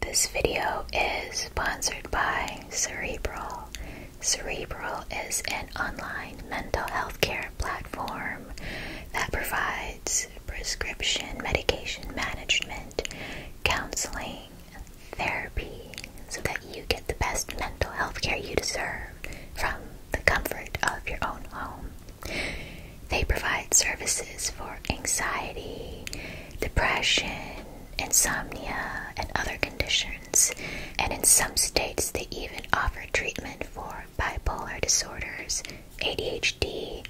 This video is sponsored by Cerebral. Cerebral is an online mental health care platform that provides prescription medication management, counseling, therapy, so that you get the best mental health care you deserve from the comfort of your own home. They provide services for anxiety, depression, insomnia, and other conditions, and in some states, they even offer treatment for bipolar disorders, ADHD,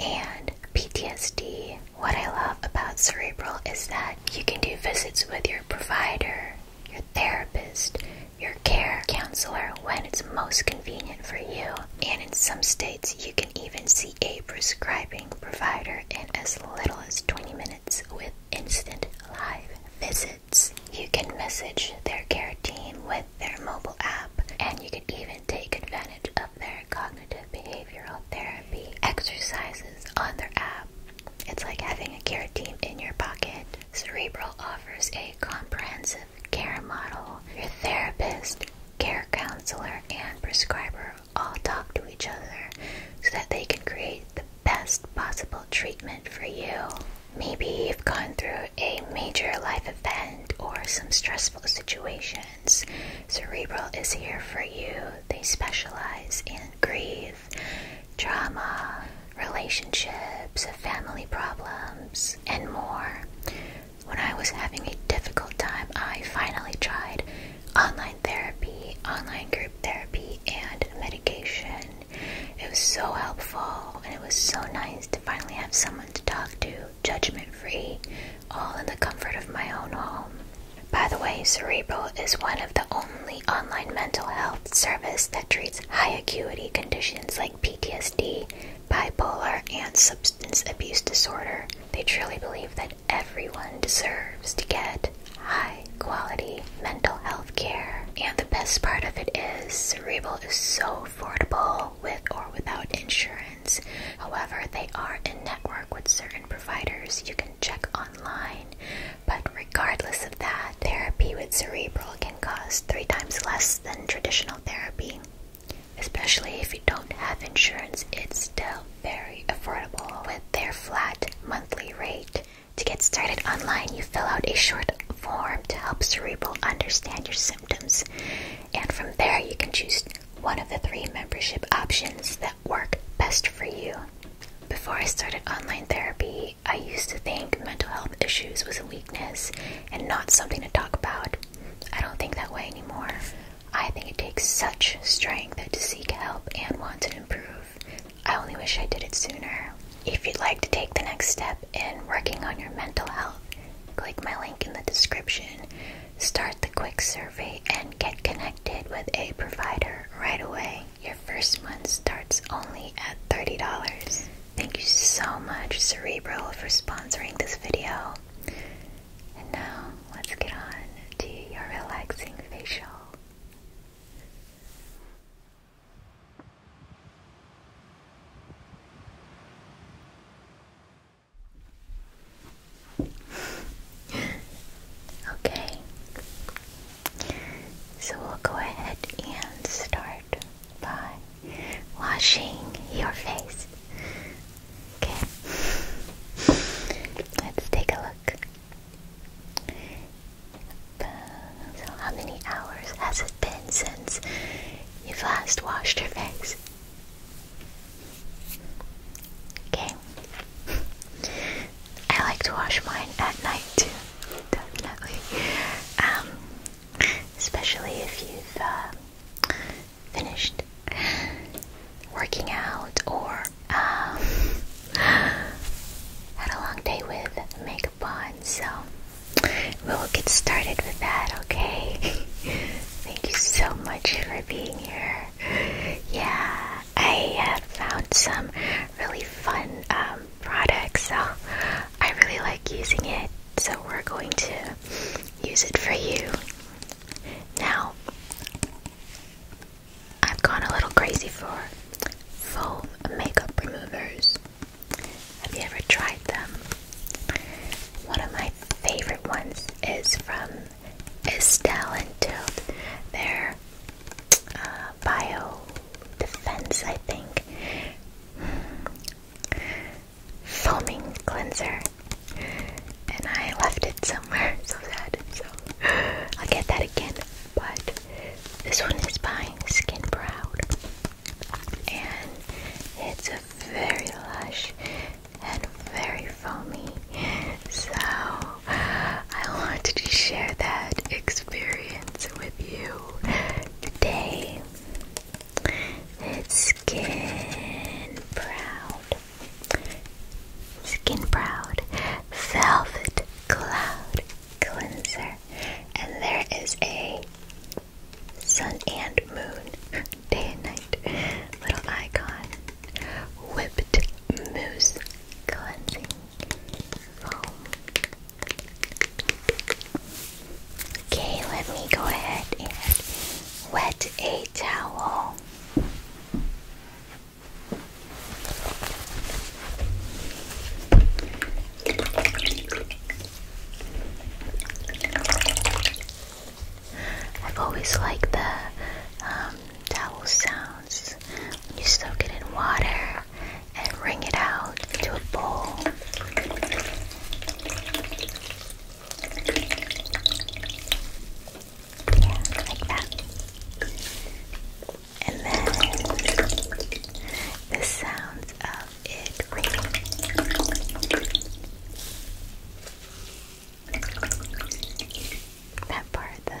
and PTSD. What I love about Cerebral is that you can do visits with your provider, your therapist, your care counselor when it's most convenient for you, and in some states, you can even see a prescribing provider in as little as 20 minutes with instant live visits. You can message their care team with their mobile app, and you can even take advantage of their cognitive behavioral therapy exercises on their app. It's like having a care team in your pocket. Cerebral offers a comprehensive care model. Your therapist, care counselor, and prescriber all talk to each other so that they can create the best possible treatment for you. Maybe you've gone through a major life event or some stressful situations. Cerebral is here for you. They specialize in grief, trauma, relationships, family problems, and more. When I was having a difficult time, I finally tried online therapy, online group therapy, and medication. It was so helpful, and it was so nice to finally have someone to talk to, judgment free, all in the comfort of my own home. By the way, Cerebral is one of the only online mental health service that treats high acuity conditions like PTSD, bipolar, and substance abuse disorder, they truly believe that everyone deserves to get high quality mental health care. And the best part of it is Cerebral is so affordable with or without insurance. However, they are in network with certain providers you can check online. But regardless of that, therapy with Cerebral can cost three times less than traditional therapy. Especially if you don't have insurance, it's still very affordable with their flat monthly rate. To get started online, you fill out a short form to help Cerebral understand your symptoms, and from there, you can choose one of the three membership options that work best for you. Before I started online therapy, I used to think mental health issues was a weakness and not something to talk about. I don't think that way anymore. I think it takes such strength to seek help and want to improve. I only wish I did it sooner. If you'd like to take the next step in working on your mental health, click my link in the description, start the quick survey, and get connected with a provider right away. Your first month starts only at $30. Thank you so much, Cerebral, for sponsoring this video. And now let's get on to your relaxing facial. okay, so we'll go ahead and start by washing your face Okay. Let's take a look. Uh, so, how many hours has it been since you've last washed your face? Okay. I like to wash mine at night too, definitely. Um, especially if you've uh, finished working out or um, had a long day with makeup on, so we will get started with that, okay? Thank you so much for being here. Yeah, I have found some really fun um, products, so I really like using it. So we're going to use it for you. Now, I've gone a little crazy for foam makeup removers. Have you ever tried them? One of my favorite ones is from Estelle and Tilt. Their uh, bio defense, I think. Foaming cleanser and I left it somewhere, so sad. So I'll get that again. But this one is by Skin Proud, and it's a very lush and very foamy. So I wanted to share that experience with you today. It's Skin Proud. Skin Proud Velvet Cloud Cleanser. And there is a sun and moon, day and night, little icon. Whipped Mousse Cleansing Foam. Okay, let me go ahead and wet a towel. I've always liked the towel um, sounds when you soak it in water and wring it out into a bowl. Yeah, like that. And then the sounds of it That part, the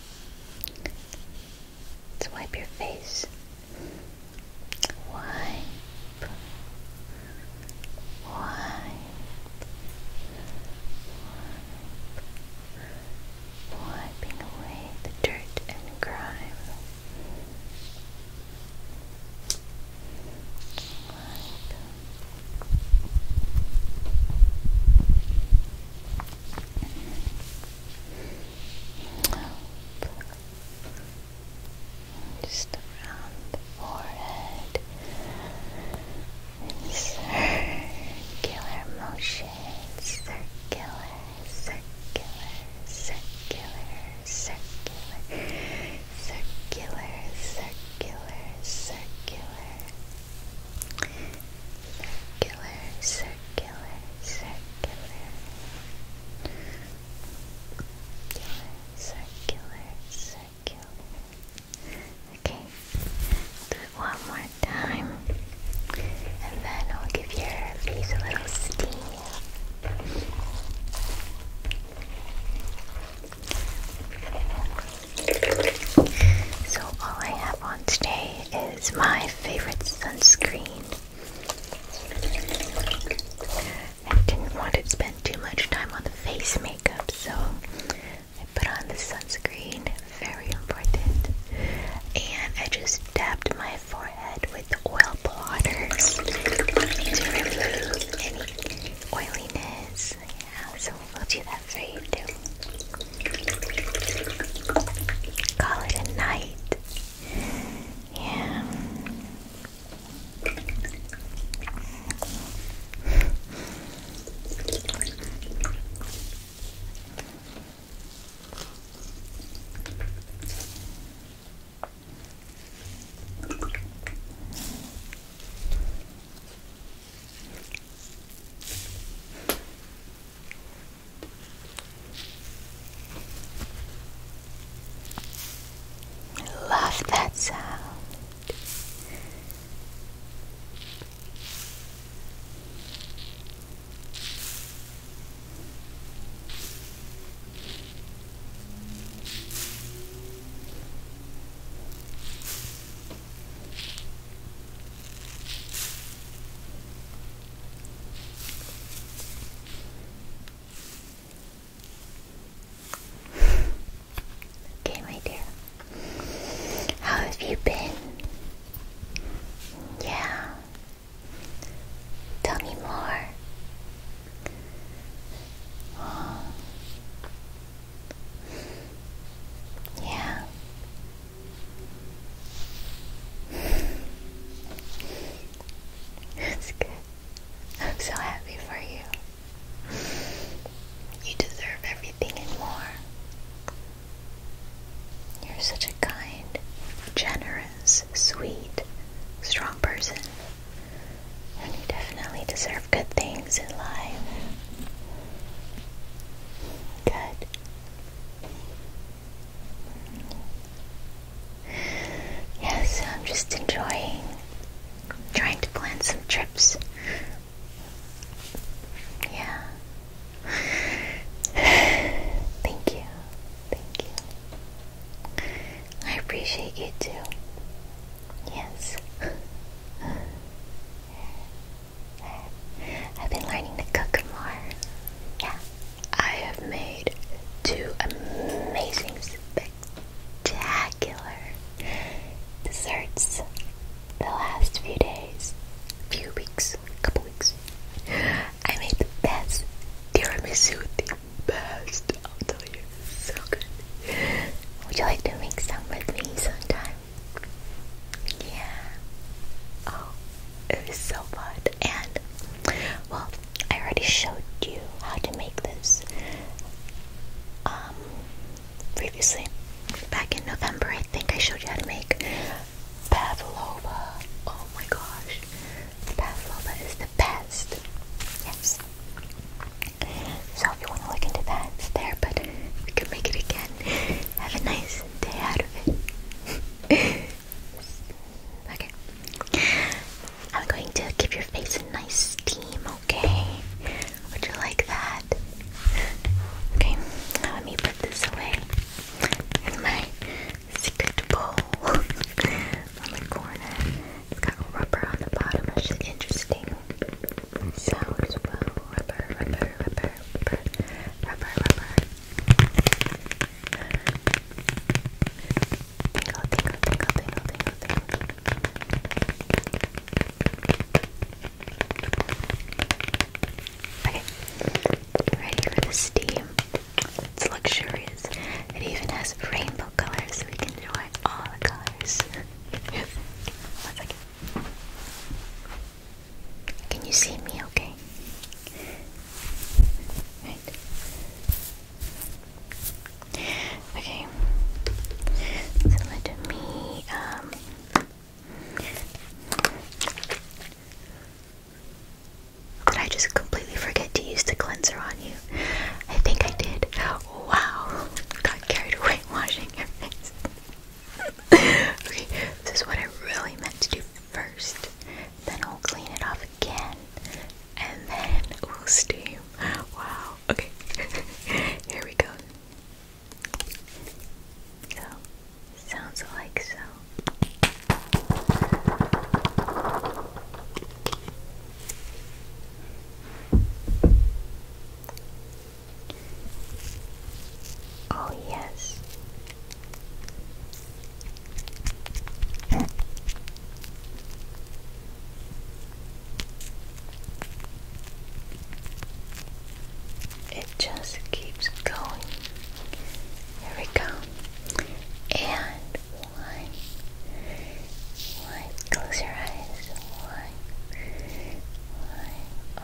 Let's wipe your face. Wipe. Wipe. Wiping away the dirt and grime. Just around the forehead in circular motions, circular, circular, circular, circular, circular, circular, circular. Circular, circular, circular. Circular, circular, circular. Okay, do it one more time. And then I'll give your face a little steam. So, all I have on today is my favorite sunscreen. I didn't want to spend too much time on the face makeup, so I put on the sunscreen, very important, and I just dabbed my forehead with oil blotter to remove any oiliness. Yeah, so we'll do that that you too. Call it a night. Yeah. I Love that sound. Okay, my dear. How have you been? Yeah. Tell me more. Oh. Yeah. That's good. I'm so happy for you. You deserve everything and more. You're such a kind, generous, sweet, strong person. And you definitely deserve good things in life. Good. Yeah, I'm just enjoying trying to plan some trips. Yeah. Thank you. Thank you. I appreciate you too. Yes. I've been learning to cook more. Yeah. I have made two amazing, spectacular desserts the last few days, few weeks, couple weeks. I made the best tiramisu, the best. I'll tell you, so good. Would you like to make some with me sometime? Yeah. Oh, it was so fun. And, well, I already showed you how to make this um, previously. Back in November, I think I showed you how to make pavlova. Oh my gosh. Pavlova is the best. Yes. So if you want to look into that, it's there, but we can make it again have a nice day out of it. okay. I'm going to give your face a nice steam, okay? Would you like that? Okay, let me put this away in my secret bowl on the It's got rubber on the bottom, is interesting sound as well. Rubber, rubber, rubber rubber, rubber, rubber. Okay, ready for the steam. It's luxurious. It even has rainbow colors, so we can enjoy all the colors. One second. Can you see me okay? Right. Okay. So let me um did I just completely forget to use the cleanser on you? I think I did. Wow. Got carried away washing your face. okay, this is what I really meant to do first. Then I'll clean it off again. And then we'll steam. Wow. Okay. Here we go. So, sounds like so. Oh, yes. It just keeps going. Here we go. And one. One. Close your eyes. One. One. Oh.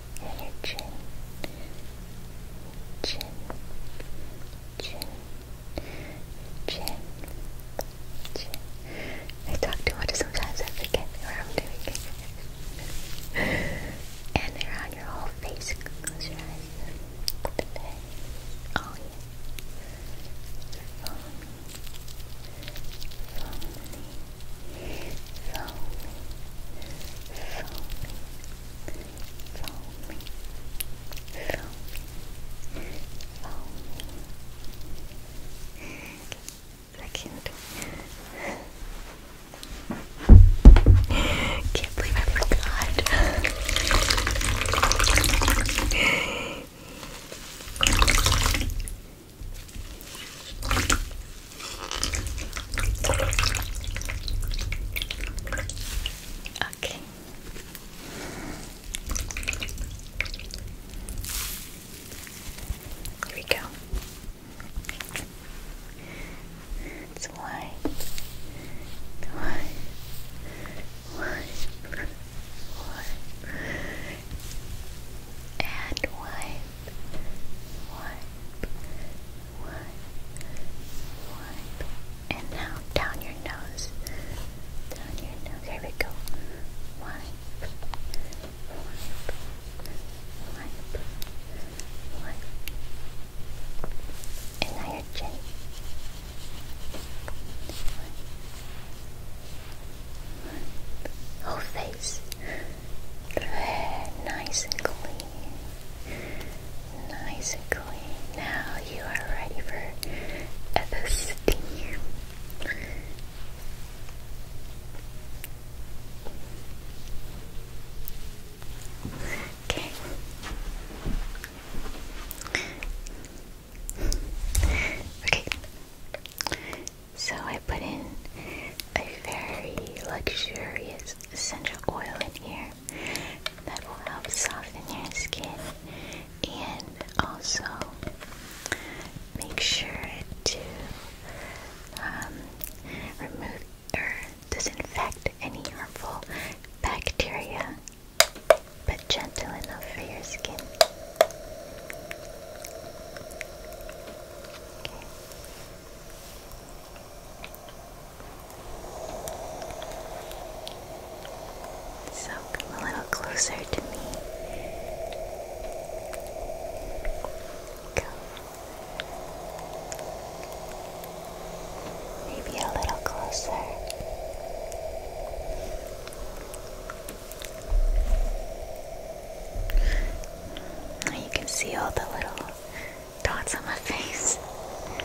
your chin, chin, chin, chin, chin. I talk too much sometimes. I forget where I'm doing it. and around your whole face. Close your eyes. The face. Oh yeah. Foamy. Foamy. Foamy. Foamy. Foamy. Follow Second. Can't believe I forgot. Okay. Here we go. It's and wipe, wipe, one, one, and now down your nose. Down your nose. Here we go. Wipe, And now your chin. Wipe, wipe. Whole face. Nice and clean nice and clean. Now you are ready for the steam. Okay. Okay. So I put in a very luxurious essential oil in here that will help soften your skin and also make sure to um, remove or disinfect any harmful bacteria, but gentle enough for your skin. So come a little closer to me. Come. Maybe a little closer. Now You can see all the little dots on my face. Good.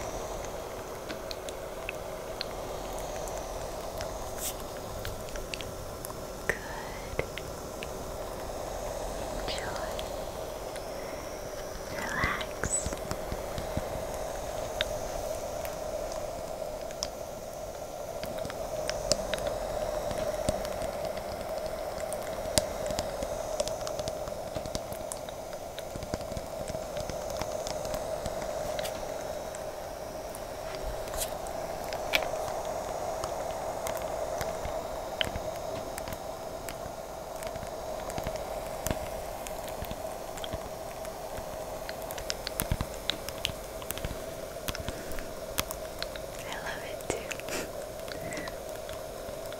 Enjoy. Relax. I love it too.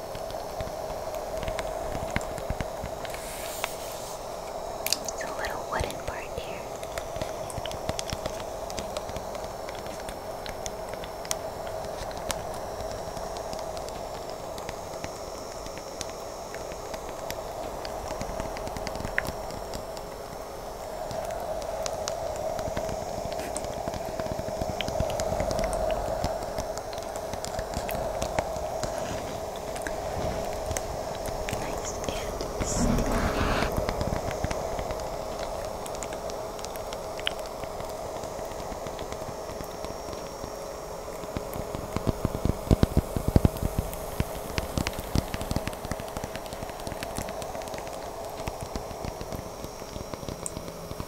It's a little wooden part here. Nice and sticky. Nice.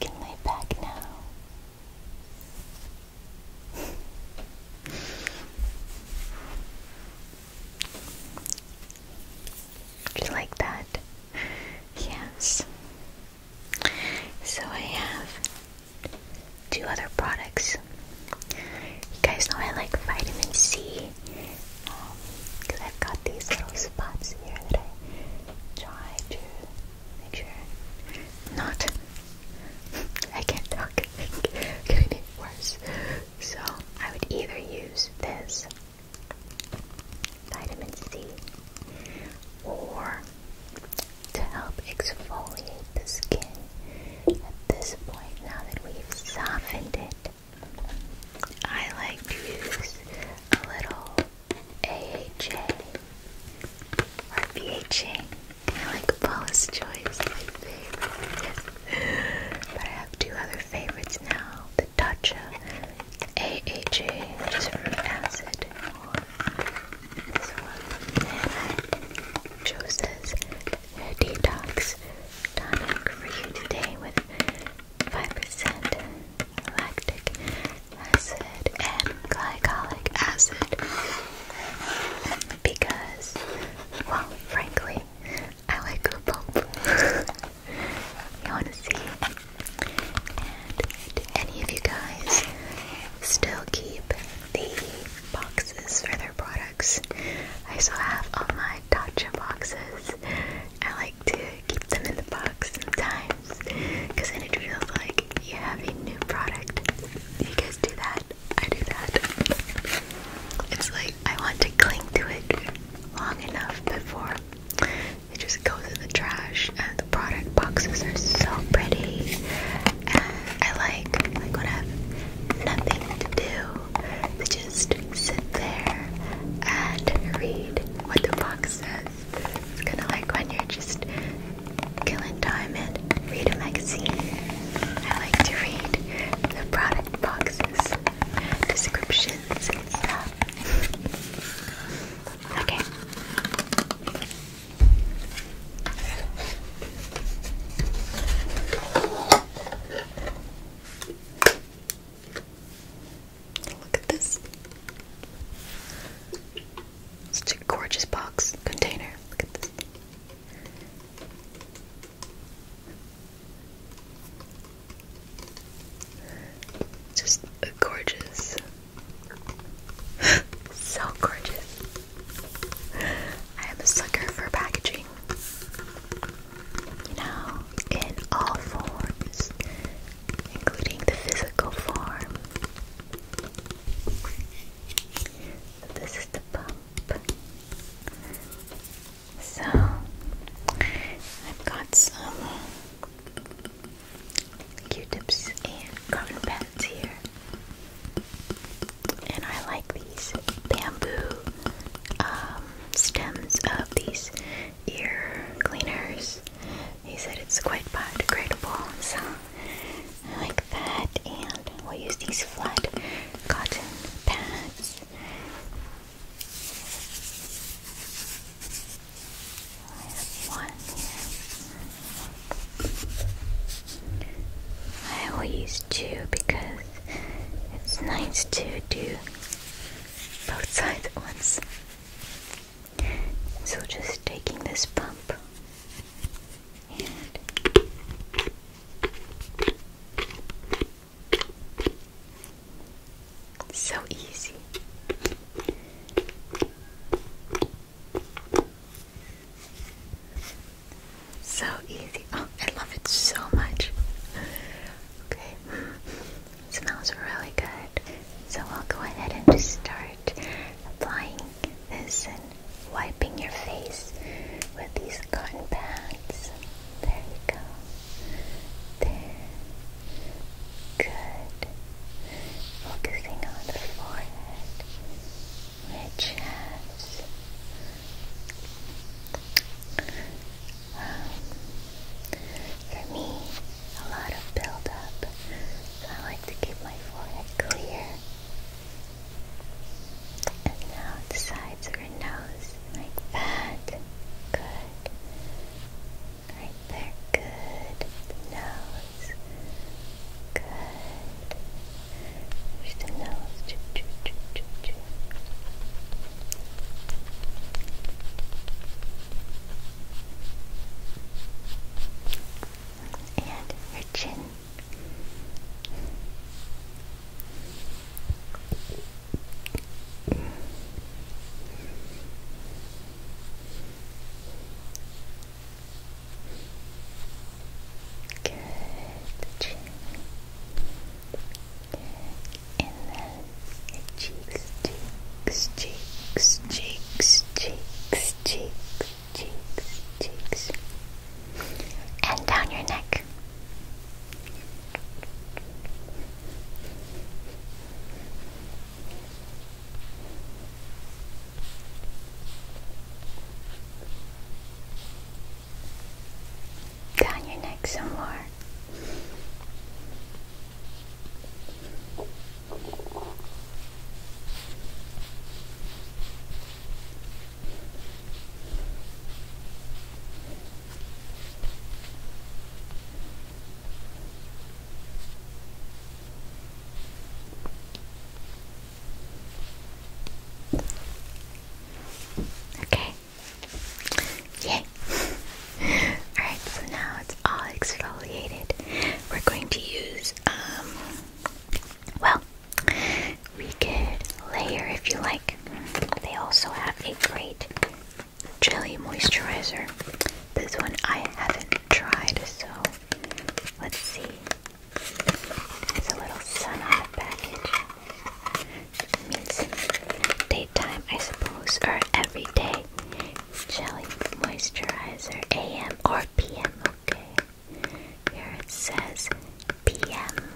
Can lay back now. Do you like that? Yes. So I have two other products. You guys know I like vitamin C because um, I've got these little spots here that I try to make sure not. I can't talk. Can Getting worse. So I would either use this vitamin C, or to help exfoliate the skin at this point now that we've softened it. I like to use a little AHA or BHA. I like Paula's Choice, my favorite. but I have two other favorites now the of AHA, which is root acid, this one, and detox tonic for you today with 5% lactic acid and glycolic acid because, well, frankly, I like pump. I want to see. And any of you guys still keep the boxes for their products? I still have all my Tatcha boxes. I like to keep them in the box sometimes because then it feels like you have a new product. You guys do that? I do that. It's like I want to cling to it long enough before it just goes in the trash, and the product boxes are so pretty. And I like like when I have nothing to do, to just sit there and read what the box says. It's kind of like when you're just killing time and read a magazine. I like to read the product boxes, descriptions and stuff. Okay. Look at this. Such a gorgeous box container. Look at this. Just gorgeous. so gorgeous. I am a sucker for packaging. You in all forms, including the physical form. This is the pump. So I've got some Q-tips and cotton pads here, and I like these bamboo um, stems of these ear cleaners. He said it's quite biodegradable, so I like that. And we'll use these flat cotton pads I have one I will use two because it's nice to do both sides at once. So just taking this pump so easy. So easy. Oh, I love it so much. Okay. Smells really good. So I'll go ahead and just start applying this and wiping your face with these cotton pads. There we go. There. Good. Focusing on the forehead, your chest. Um, for me, a lot of buildup, so I like to keep my forehead clear. And now the sides of your nose, like that. Good. Right there, good. The good. There's the nose. And your chin. Good, chin. Good. And cheeks, cheeks, cheeks, cheeks, cheeks, cheeks, cheeks, cheeks. And down your neck. Down your neck some more. Okay. Yay. Alright, so now it's all exfoliated. We're going to use, um, well, we could layer if you like. They also have a great Jelly Moisturizer. This one I haven't tried, so let's see. It's a little sun on the package. It means daytime, I suppose, or every day. Jelly Moisturizer AM or PM, okay. Here it says PM.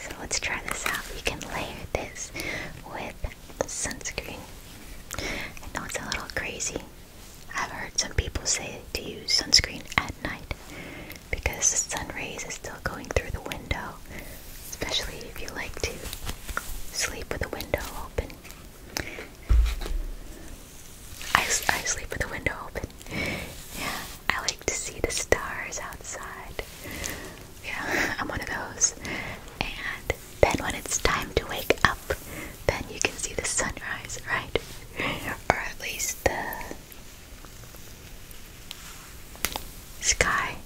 So let's try this out. You can layer this with sunscreen. I know it's a little crazy. I've heard some people say to use sunscreen at night because the sun rays is still going through the window, especially if you like to sleep with the window open. I, I sleep with the window open. Yeah, I like to see the stars outside. Yeah, I'm one of those. And then when it's time to wake up, then you can see the sunrise, right? Or at least the sky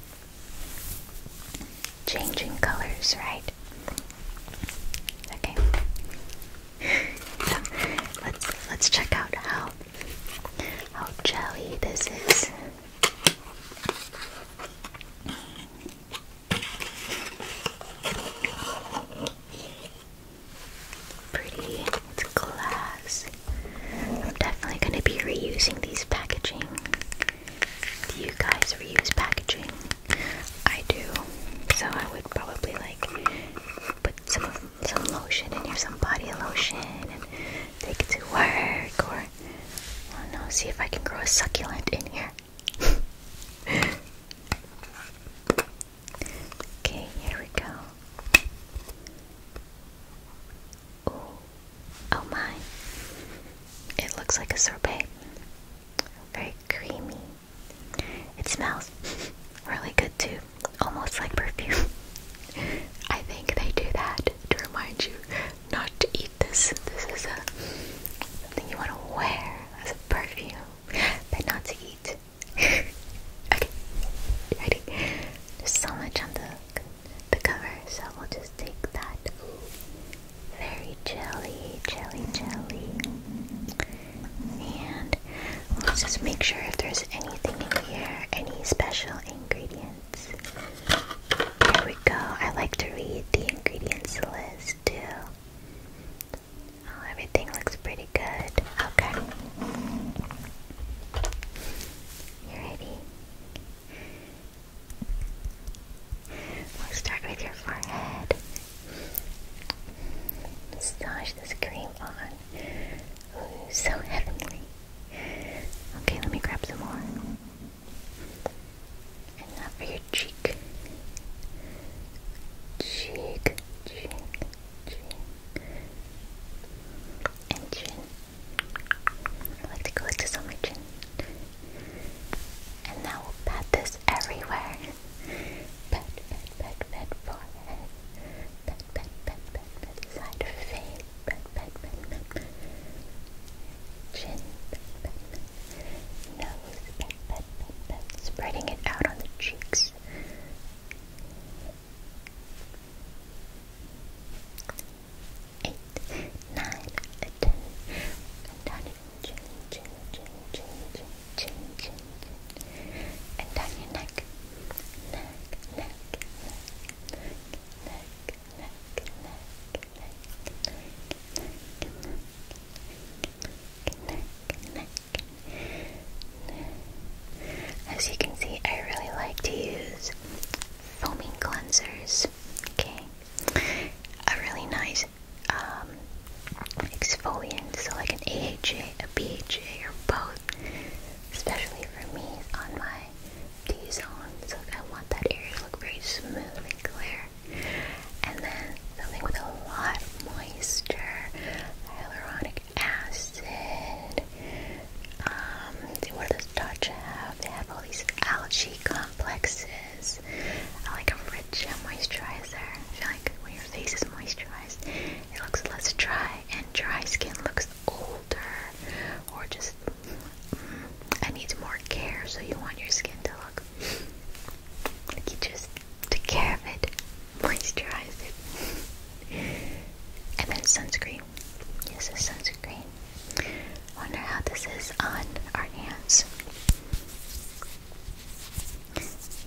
changing colors, right? Okay. let's let's check out how how jelly this is. Pretty, it's glass. I'm definitely going to be reusing these packaging. Do you guys reuse packaging? I do, so I would probably like put some some lotion in here, some body lotion, and take it to work or Oh no, see if I can grow a succulent in here. okay, here we go. oh my. It looks like a sorbet. Very creamy. It smells really good too. Almost like perfume. I think they do that to remind you not to eat this. This is a thing you want to wear as a perfume, but not to eat. okay, ready? There's so much on the the cover, so we'll just take that. Very jelly, jelly, jelly. And let's just make sure if there's anything in here, any special ingredient. Here we go. I like to read the ingredients list too. Oh, everything looks pretty good. Okay. You ready? We'll start with your forehead. Massage this cream on. Ooh, so heavenly. Okay, let me grab some more. And now for your cheek. Cheek, cheek, And chin. I like to collect this on my chin. And now we'll pat this everywhere. Pat, pat, pat, pat, forehead. Pat, pat, pat, pat, pat, side of face. Chin, Nose, Spreading it out on the cheeks. Eight, nine, ten. And down your chin, chin, chin, chin, chin, chin, chin, chin. And down your neck. Neck, neck, neck, neck, neck, as you can see, I really like to use foaming cleansers. Okay, a really nice um, exfoliant, so like an AHA, a BHA, or both, especially for me on my D zone, So I want that area to look very smooth and clear. And then something with a lot of moisture, hyaluronic acid. Um, what does Dodge have? They have all these algae complexes. I like a rich moisturizer. I feel like when your face is moisturized, it looks less dry, and dry skin looks older or just and needs more care, so you want your skin to look like you just took care of it, moisturized and then sunscreen. This is sunscreen. Wonder how this is on our hands.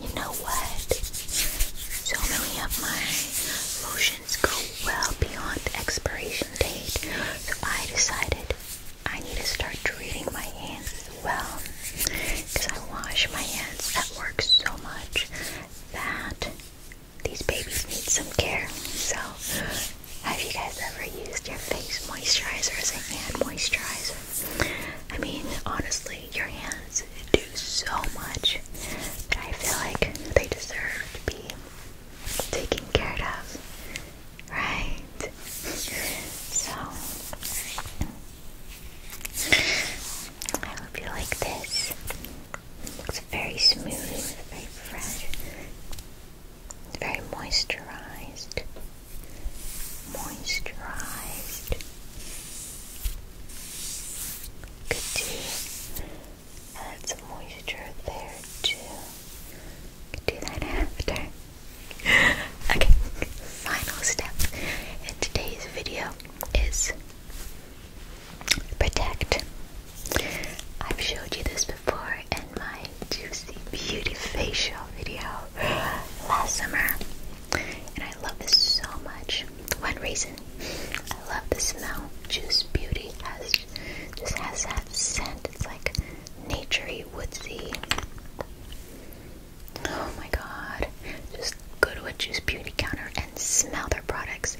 You know what? So many of my lotion go well beyond expiration date, so I decided I need to start treating my hands well because I wash my hands That works so much that these babies need some care. So, have you guys ever used your face moisturizer as a hand moisturizer? I mean, honestly, your hands do so much that I feel like they deserve to be taken care of, right? so, I hope you like this. looks very smooth, very fresh, very moisturized. Moisturized. Good tea add moisture there too. Do that after. okay, final step in today's video is protect. I've showed you this before in my juicy beauty facial video last summer, and I love this so much. One reason I love the smell. Juice Beauty has just has that scent. It's like naturey, woodsy. Oh my god. Just go to a Juice Beauty counter and smell their products.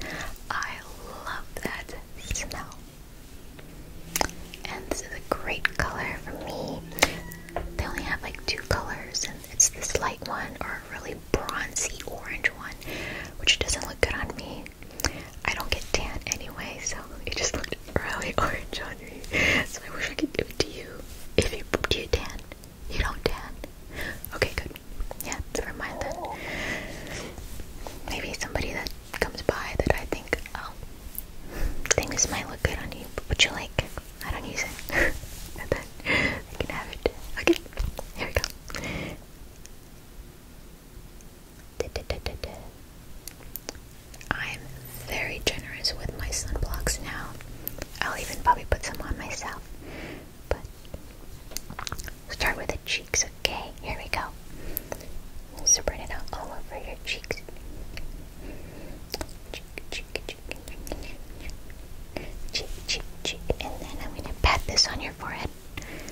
I love that smell. And this is a great color for me. They only have like two colors, and it's this light one or a really bronzy orange one, which doesn't look good on me. I don't get tan anyway, so it just looked really orange on me. So I wish I could give it to you. If you do you tan, you don't tan. Okay, good. Yeah, never mind then. Maybe somebody that comes by that I think, oh, I think this might look good on you. Would you like? I don't use it. and then I can have it. Okay, here we go. I'm very generous with my sunblocks now. I'll even probably put some on myself. But start with the cheeks, okay? Here we go. Spread it out all over your cheeks. Cheek, cheek, cheek, cheek, cheek, cheek. And then I'm gonna pat this on your forehead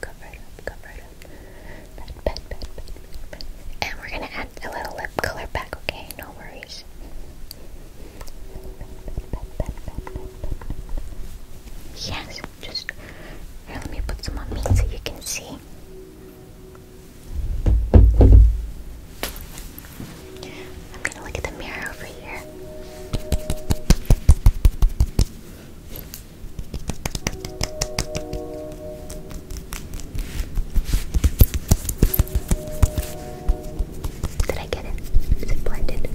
come right up, come right up. And we're gonna add a little lip color back, okay? No worries. Yes, just let me put some on me so you can see. I'm gonna look at the mirror over here. Did I get it? Is it blended?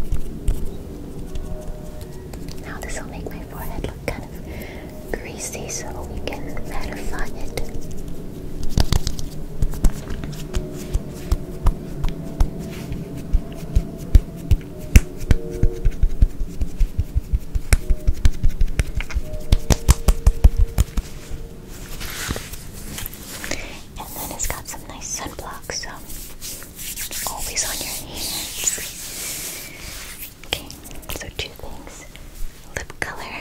Now this will make my forehead look kind of greasy so we can mattify it. And then it's got some nice sunblock, so always on your hands. Okay, so two things lip color,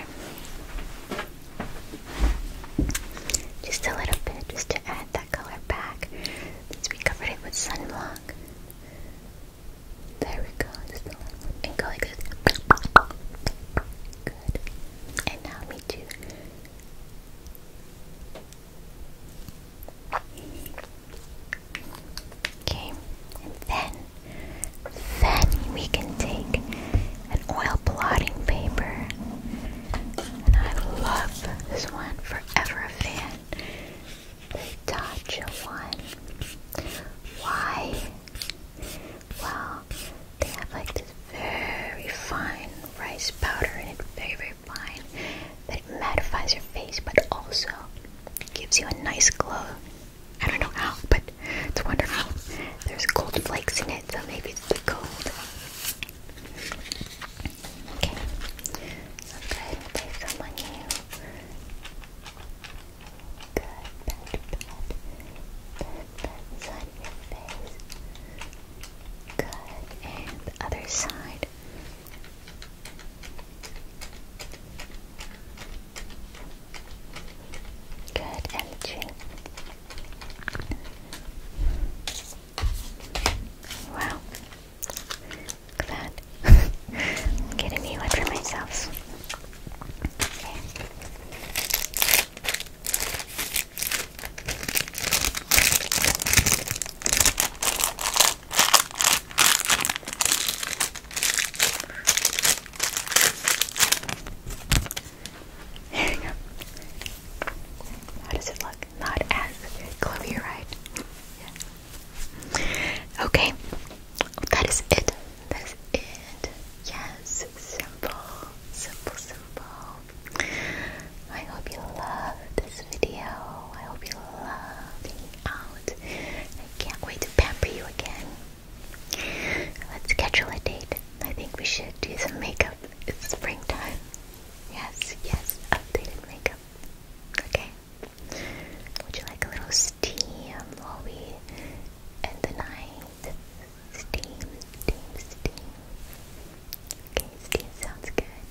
just a little bit, just to add that color back. Since we covered it with sunblock, there we go. And go like this. Good. And now me too. Okay. And then, then we can take an oil blotting paper. And I love this one. Forever fan the Dodge one. Why? Well, they have like this very fine rice powder in it, very, very fine, that it mattifies your face but also gives you a nice glow. I don't know how, but it's wonderful. There's gold flakes in it, so maybe it's the gold. Okay. So I'm going to play someone new. Good. Pat, pat. Pat, pat side of your face. Good. And other side. Good. And Wow that. I'm getting me one for myself. Okay. we go. How does it look? not as Chloe, right? Okay, that is it. That is it. Yes, simple, simple, simple. I hope you love this video. I hope you love hanging out. I can't wait to pamper you again. Let's schedule a date. I think we should do some makeup. It's springtime. Yes, yes, updated makeup. Okay. Would you like a little steam while we end the night? Steam, steam, steam. Okay, steam sounds good.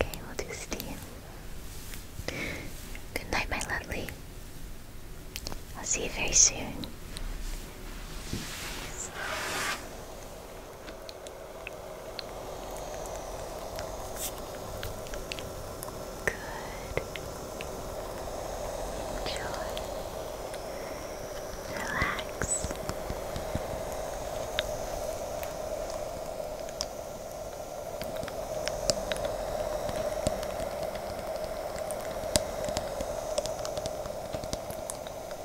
Okay, we'll do steam. Good night, my lovely. I'll see you very soon. Good. Enjoy. Relax. Good.